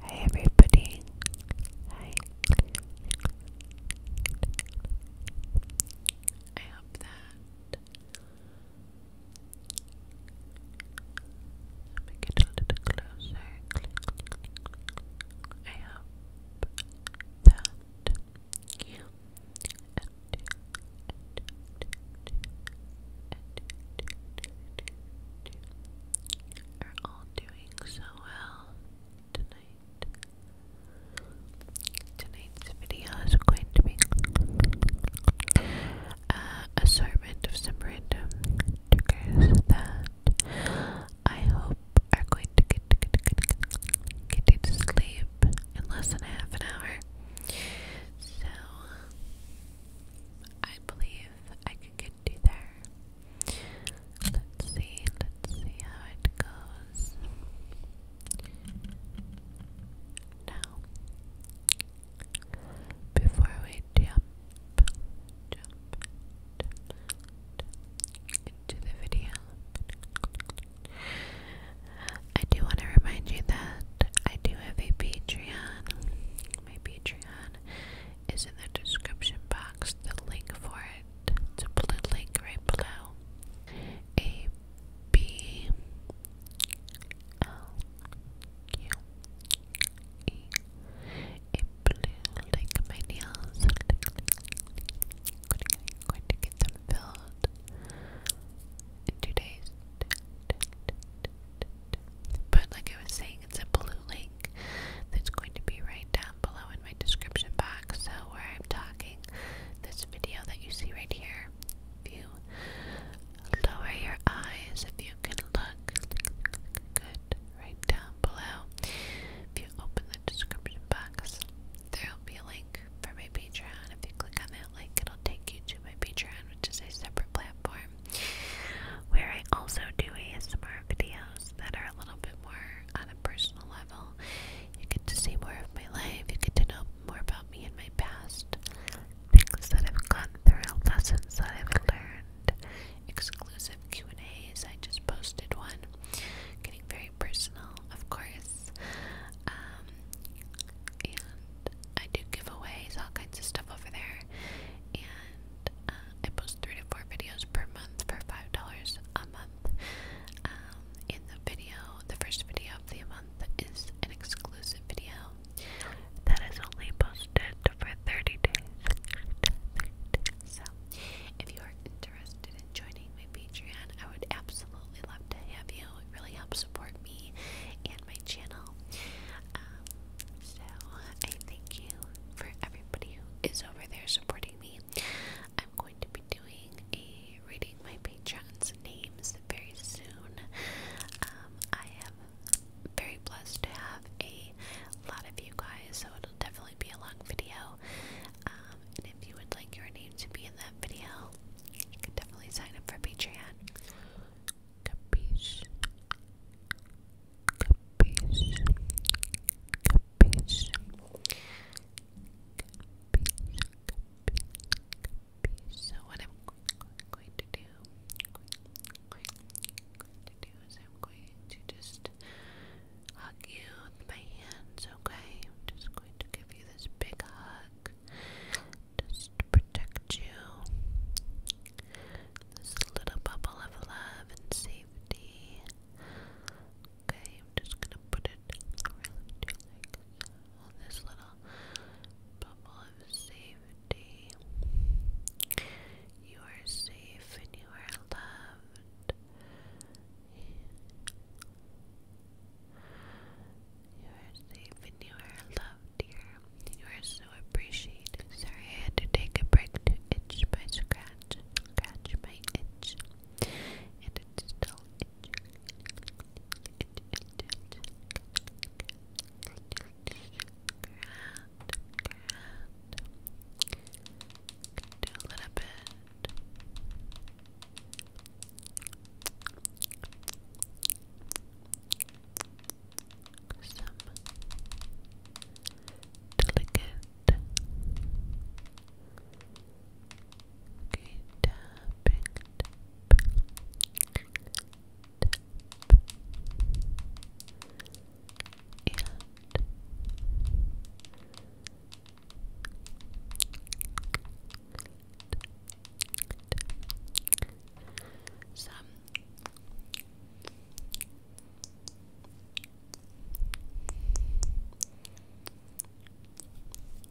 Hi everybody. Hi. I hope that let me a little closer. I hope that you are all doing so well tonight. Tonight's uh, video is going to be a assortment of some random triggers that I hope are going to get, get, get, get, get you to sleep in less than half an hour. So I believe I could get you there. Let's see, let's see how it goes. Now, before we jump, into the video, I do want to remind you that I do have a Patreon. My Patreon is in the description box, the link for it. It's a blue link right below. A B L Q E. A blue link. My going to get them filled in two days. But like I was saying, it's a blue link that's going to be right down below in my description box. So where I'm talking, this video that you see right here, if lower your eyes, if you can look good right down below, if you open the description box, there will be a link for my Patreon. If you click on that link, it'll take you to my Patreon, which is a separate platform where I also do ASMR videos that are a little bit more on a personal level. You get to see more of my life, you get to know more about me and my past, things that I've gone through, lessons that I've learned, exclusive Q&As. I just posted one, getting very personal, of course. Um, and I do giveaways, all kinds of stuff over there, and uh, I post three to four videos per month for five dollars a month. in um, the video, the first video of the month is an exclusive video that is only posted for 30 days. So, if you are interested in joining my Patreon, I would absolutely love to have you. It really helps support me and my channel. Um, so I thank you for everybody who is over there supporting me. I'm going to be doing a reading my patrons' names very soon. Um, I am very blessed to have a lot of you guys, so it'll definitely be a long video. Um, and if you would like your name to be in that video, you can definitely sign up for Patreon. Capiche. Capiche. Capiche. Capiche. Capiche. So what I'm going to do, going, going to do is I'm going to just hug you with my hands, okay? I'm just going to give you this big hug just to protect you. This little bubble of love and safety. Okay, I'm just gonna put it really like this little bubble of safety. You are safe and you are loved. You are safe and you are loved here. You are so appreciated. Sorry I had to take a break to itch my scratch. Scratch my itch. And it's still itching. Itch, itch, itch. Grand, grand. Do a little bit some delicate okay, tapping, some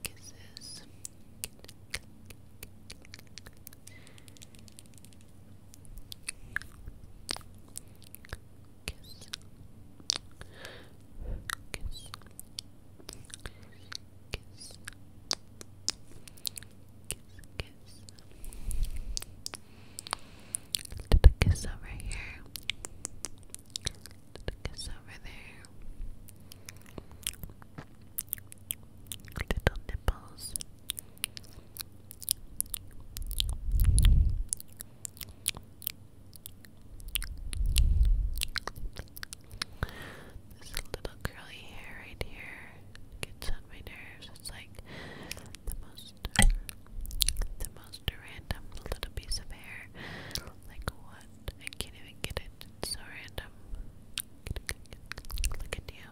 kisses. Kiss kiss, kiss, over here, kiss over there, little nipples. This little curly hair right here gets on my nerves. It's like the most, the most random little piece of hair. Like what? I can't even get it. It's so random. Look at you,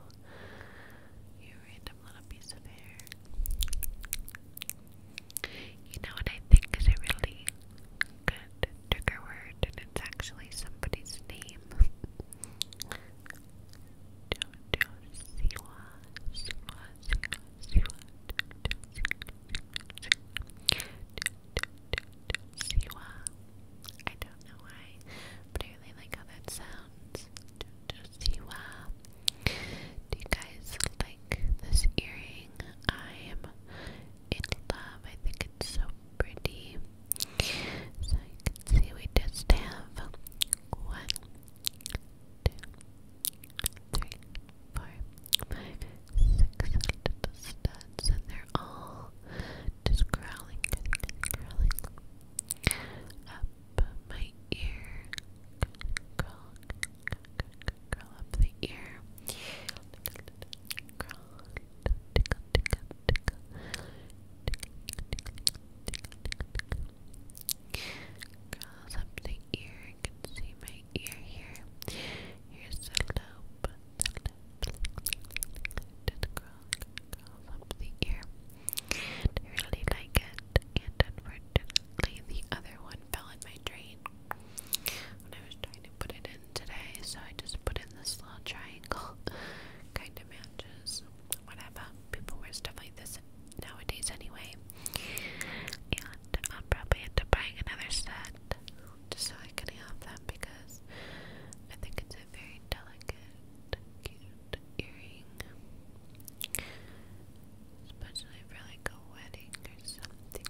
you random little piece of hair. You know what I think is a really and took word, and it's actually somebody's name. Jojo Siwa, Siwa, Siwa, I don't know why, but I really like how that sounds. Jojo Do you guys like this earring? I am in love. I think it's so pretty. So you can see we just have one, two, three, four, five, six studs, and they're all just growling, growling, Up my ear, curl, curl, up the ear, tickle, tickle, tickle, the ear. You can see my ear here. Here's the lobe. The lobe. Just up the ear. I really like it. And unfortunately, the other one fell in my drain when I was trying to put it in today, so I just put in this little triangle. kind of matches whatever. People wear stuff like this nowadays anyway. And I'll probably end up buying another set just so I can have them because I think it's a very delicate, cute earring. Especially for like a wedding or something.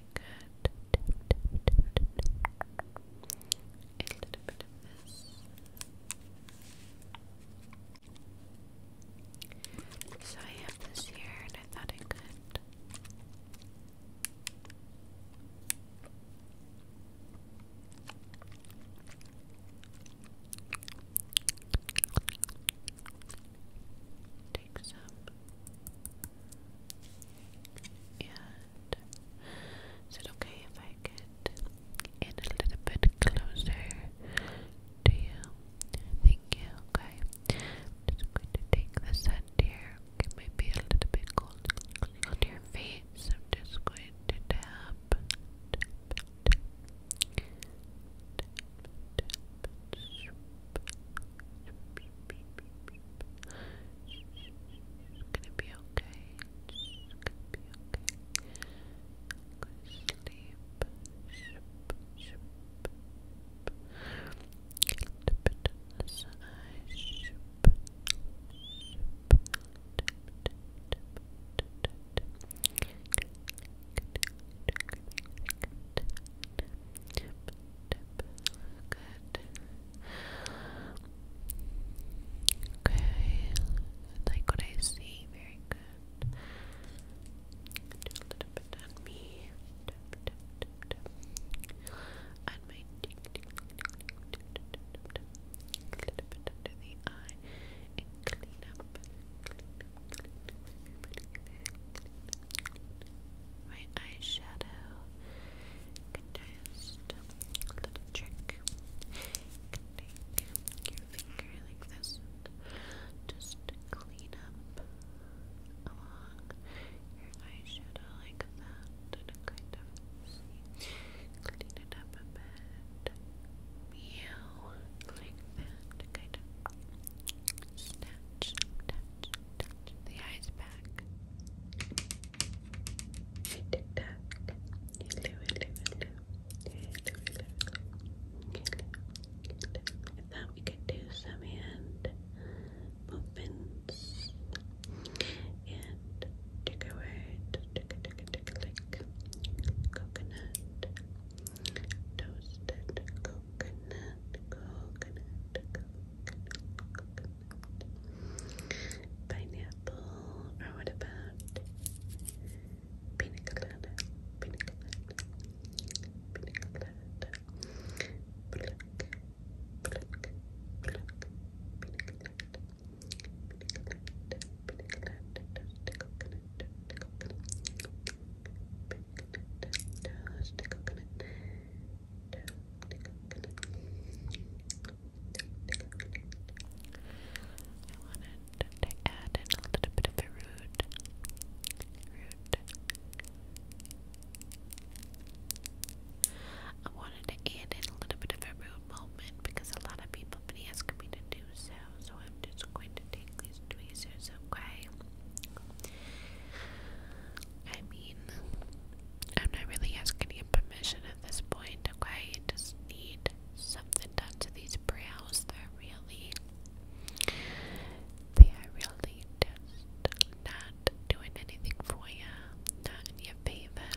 I could So I have this here and I thought I could take some and is it okay if I get in a little bit closer to you? Thank you, okay. just going to take the scent here. It might be a little bit cold on your face. i just going to tap, it's gonna be okay. It's gonna be okay. I'm gonna sleep. Shoop, shoop, shoop. A little bit on the side. Shoop, shoop. Tap, tap, tap, tap, tap. Good, good, good, good, good, good tip. Good. Okay. Like what I see. Very good. Do a little bit on me. Tip, tip, tip, tip. On my cheek. A little bit under the eye. And clean up my eyeshadow. Just little trick. take your finger like this just clean up along your eyeshadow like that and kind of Clean it up a bit. Meow. Like that. Kind of snatch, touch, the eyes back. Tic tac. Hello, hello, hello. Hello, hello, hello. I thought we could do some hand movements and take a word, take a take a take a lick. Coconut, toasted coconut, coconut, coconut. Pineapple, or what about pina colada? Pina colada, pina colada, pluck, pluck, pluck, pina colada, pina colada, pina colada, toasted coconut, toasted coconut, pina colada, toasted coconut. Pina wanted to add in a little bit of a root, I wanted to add in a little bit of a root moment because a lot of people have been asking me to do so. So I'm just going to take these tweezers, okay? I mean, I'm not really asking you permission at this point, okay? You just need something done to these brows. They're really, they are really just not doing anything for you, not in your favor.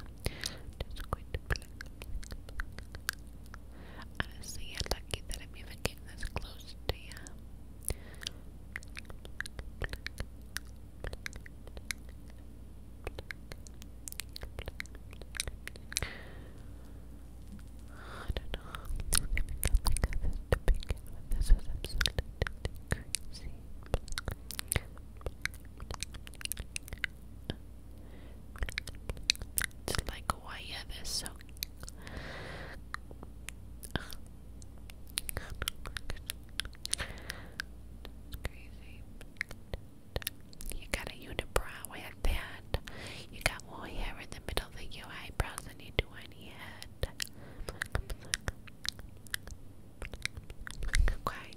Just going to pluck, pluck, pluck. Honestly, you're lucky that I'm even getting this close to you. I don't know how difficult think of this to This is absolutely crazy. It's like why yeah, so you got a unibrow, I had that. You got more hair in the middle than your eyebrows than you do on your head. Okay.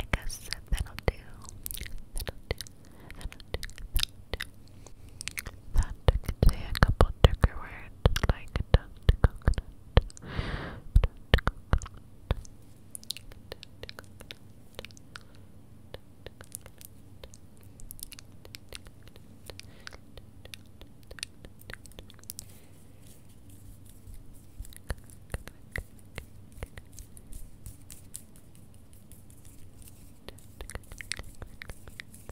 I guess That'll do. That'll do. That'll do. That could say a couple trigger words like dust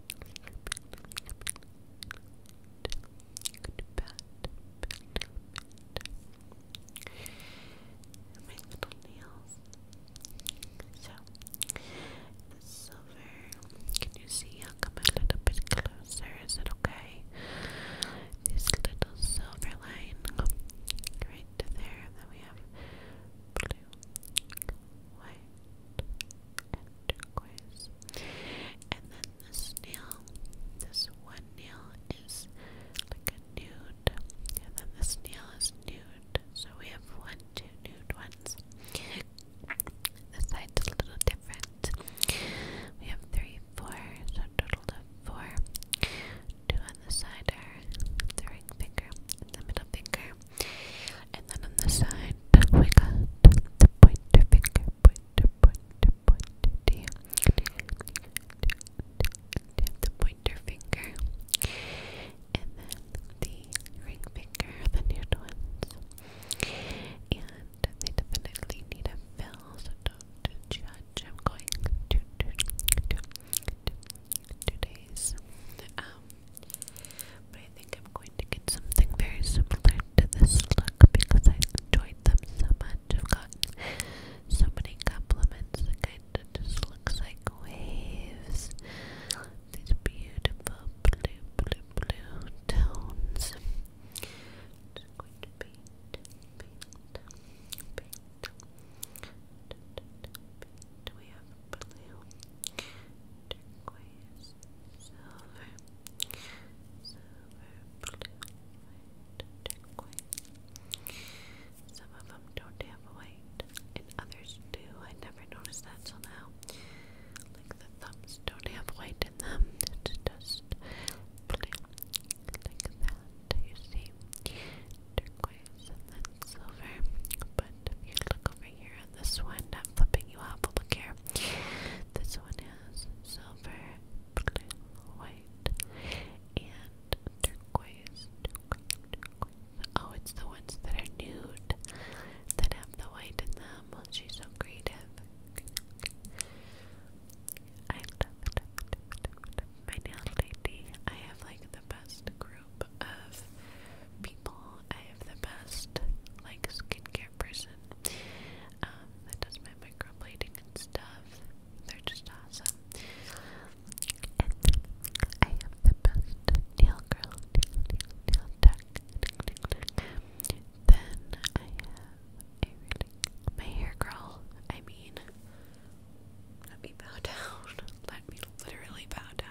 and my little nails. So the silver, can you see? I'll come a little bit closer. Is it okay? This little silver line right there. Then we have blue, white and then this nail, this one nail is like a nude, and then this nail is nude. So we have one, two nude ones. The side's a little different. We have three, four, so total of four. Two on the side are the ring finger little the finger. And then on the side, we got the pointer finger, pointer, pointer, pointer. the pointer finger? And then the ring finger, the nude ones. And they definitely need a fill, so don't but I think I'm going to get something very similar to this look because I enjoyed them so much. I've got so many compliments. It kind of just looks like waves. These beautiful blue, blue, blue tones blue, turquoise, silver, silver, blue, turquoise. Some of them don't have white, and others do. I never noticed that till now. Like the thumbs don't have white in them. It's just blue, like that. You see, turquoise and then silver. But if you look over here this one, I'm flipping you off, look here. This one has silver, white, and turquoise, Oh, it's the ones that are nude, that have the white in them. she's so creative. I My nail lady, I have like the best of people. I have the best like skincare person um, that does my microblading and stuff. They're just awesome. And I have the best nail girl, nail, tech. Then I have my hair girl. I mean, let me bow down. Let me literally bow down.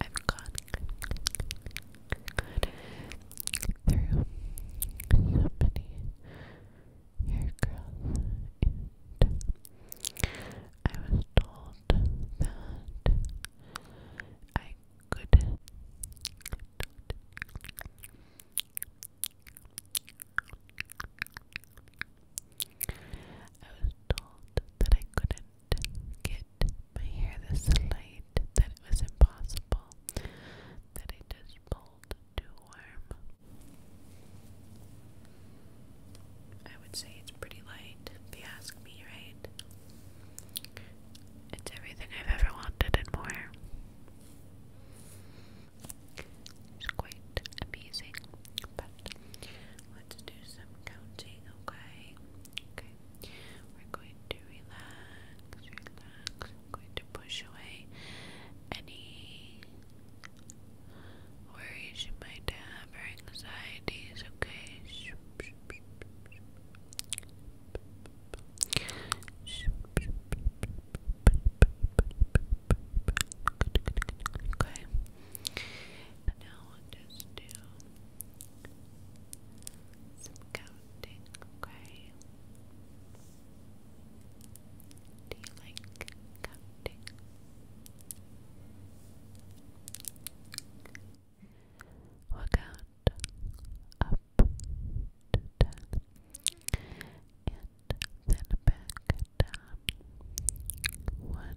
I've gone through so many hair growth I was told that I couldn't I I was told that I couldn't get my hair this light, that it was impossible, that I pulled too warm. I would say it's pretty light, if you ask me, right? It's everything I've ever wanted and more. It's quite amazing, let's do some counting, okay? Okay. We're going to relax, relax. I'm going to push away any worries you might have or anxieties, okay? Okay now I'll just do some counting, okay? Do you like counting? We'll count up to ten and then back down. One,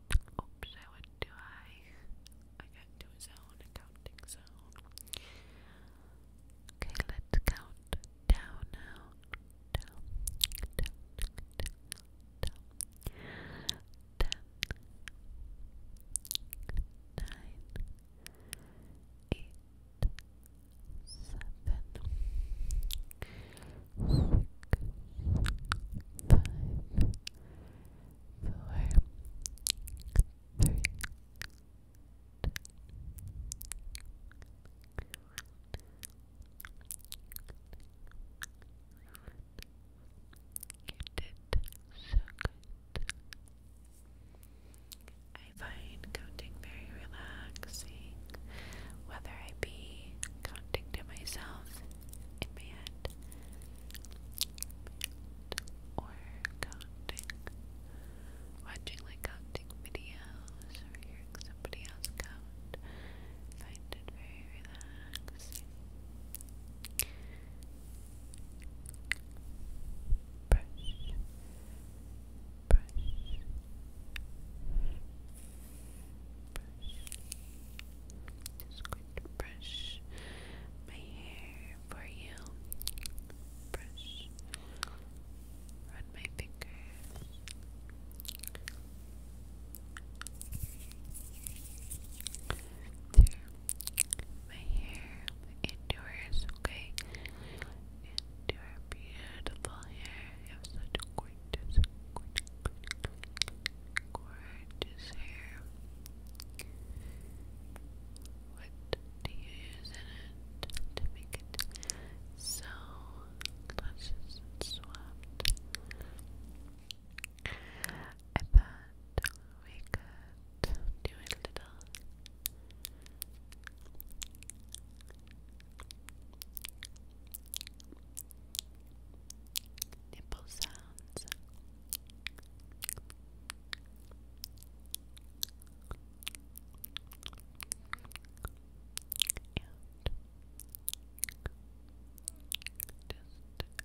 Oops, I went too high. I got into a zone, a counting zone. Okay, let's count down now. Down, down, down, down. Ten, nine, eight, seven, six, five, three, two, you did so good. I find counting very relaxing, whether I be counting to myself in my head or counting, watching like counting videos or hearing somebody else count. find it very relaxing. Brush, brush, brush. Just going to brush my hair for you. Brush. Run my fingers. Through my hair into yours, okay? Into your beautiful hair. You have such gorgeous, gorgeous, gorgeous hair. What do you use in it to make it so luscious and swept? I thought we could do a little nipple sounds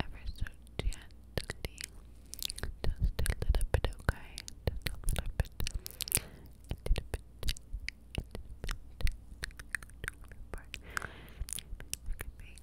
ever so gently, just a little bit, okay? Just a little bit, a little bit, a little bit.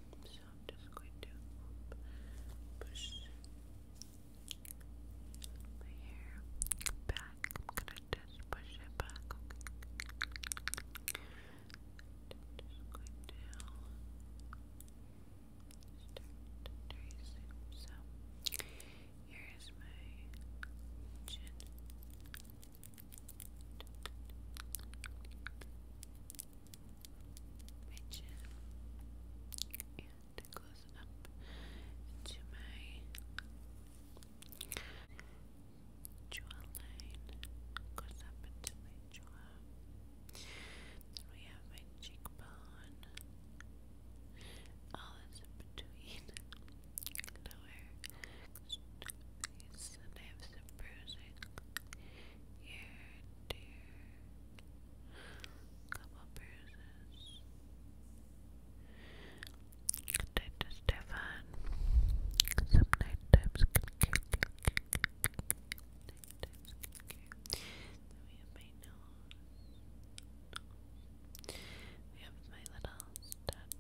So I'm just going to push my hair back. I'm gonna just push it back. Okay. And I'm just going to start tracing. So here's my chin my chin and close up into my jawline, goes up into my jaw. Then we have my cheekbone, all is in between, lower face and some bruising here and here. Couple bruises. Good Stefan. Some nighttime skincare. Nighttime skincare. We have my little stud.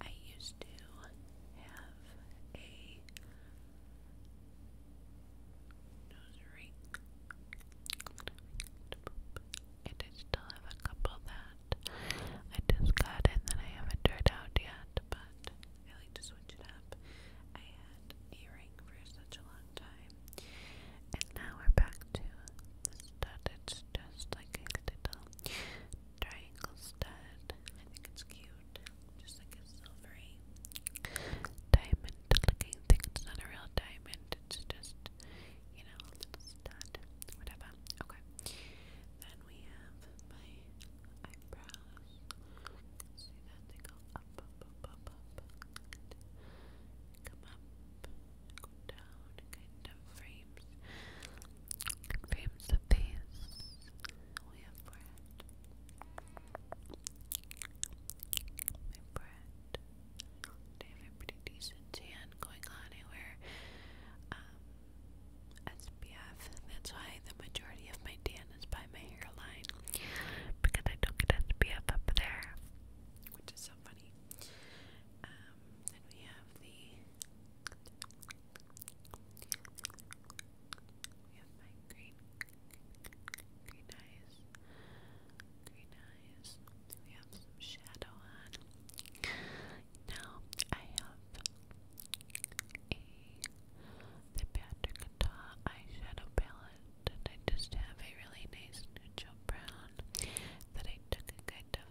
I used to have a nose ring, and I still have a couple that I just got and that I haven't turned out yet, but I like to switch it up. I had a ring for such a long time, and now we're back to stud. It's just like a little triangle stud. I think it's cute. Just like a silvery diamond looking thing. It's not a real diamond. It's just, you know, a stud. Whatever. Okay. Then we have my eyebrows. See that? They go up, up, up, up, up. come up kind of frames, frames the face. We have bread. My bread. pretty decent tan going on. I SPF. That's why the majority of my tan is by my hairline because I don't get SPF up there, which is so funny. Um, then we have the we have my green, green eyes, green eyes. We have some shadow on. Now I have a the Patrick Taw eyeshadow palette, and I just have a really nice neutral brown that I took a kind of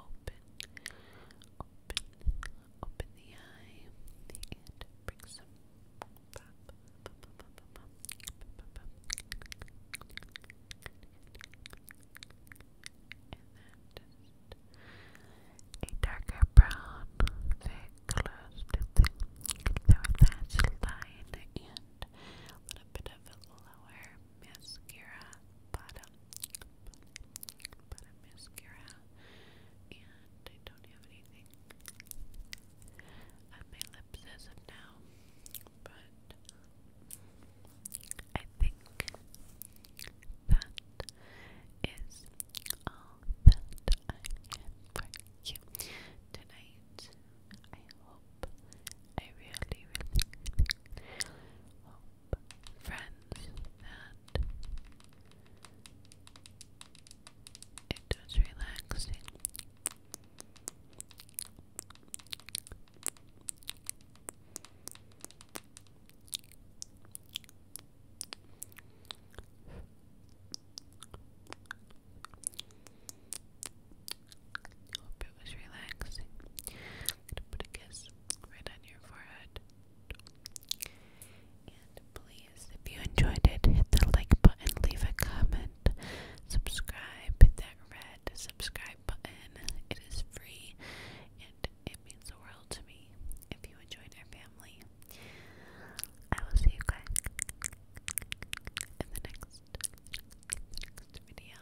open, open, open the eye, and bring some pop, pop, pop, a darker brown, very to the lash a bit of lower mascara Bada, Bada, Bada mascara, and I don't have anything on my lips as of now, but I think that is all that I have for you tonight. I hope, I really, really, friends and it was relaxing. Hope it was relaxing. gonna put a kiss right on your forehead please, if you enjoyed it, hit the like button, leave a comment, subscribe, hit that red subscribe button. It is free and it means the world to me. If you enjoyed our family, I will see you guys in the next, video.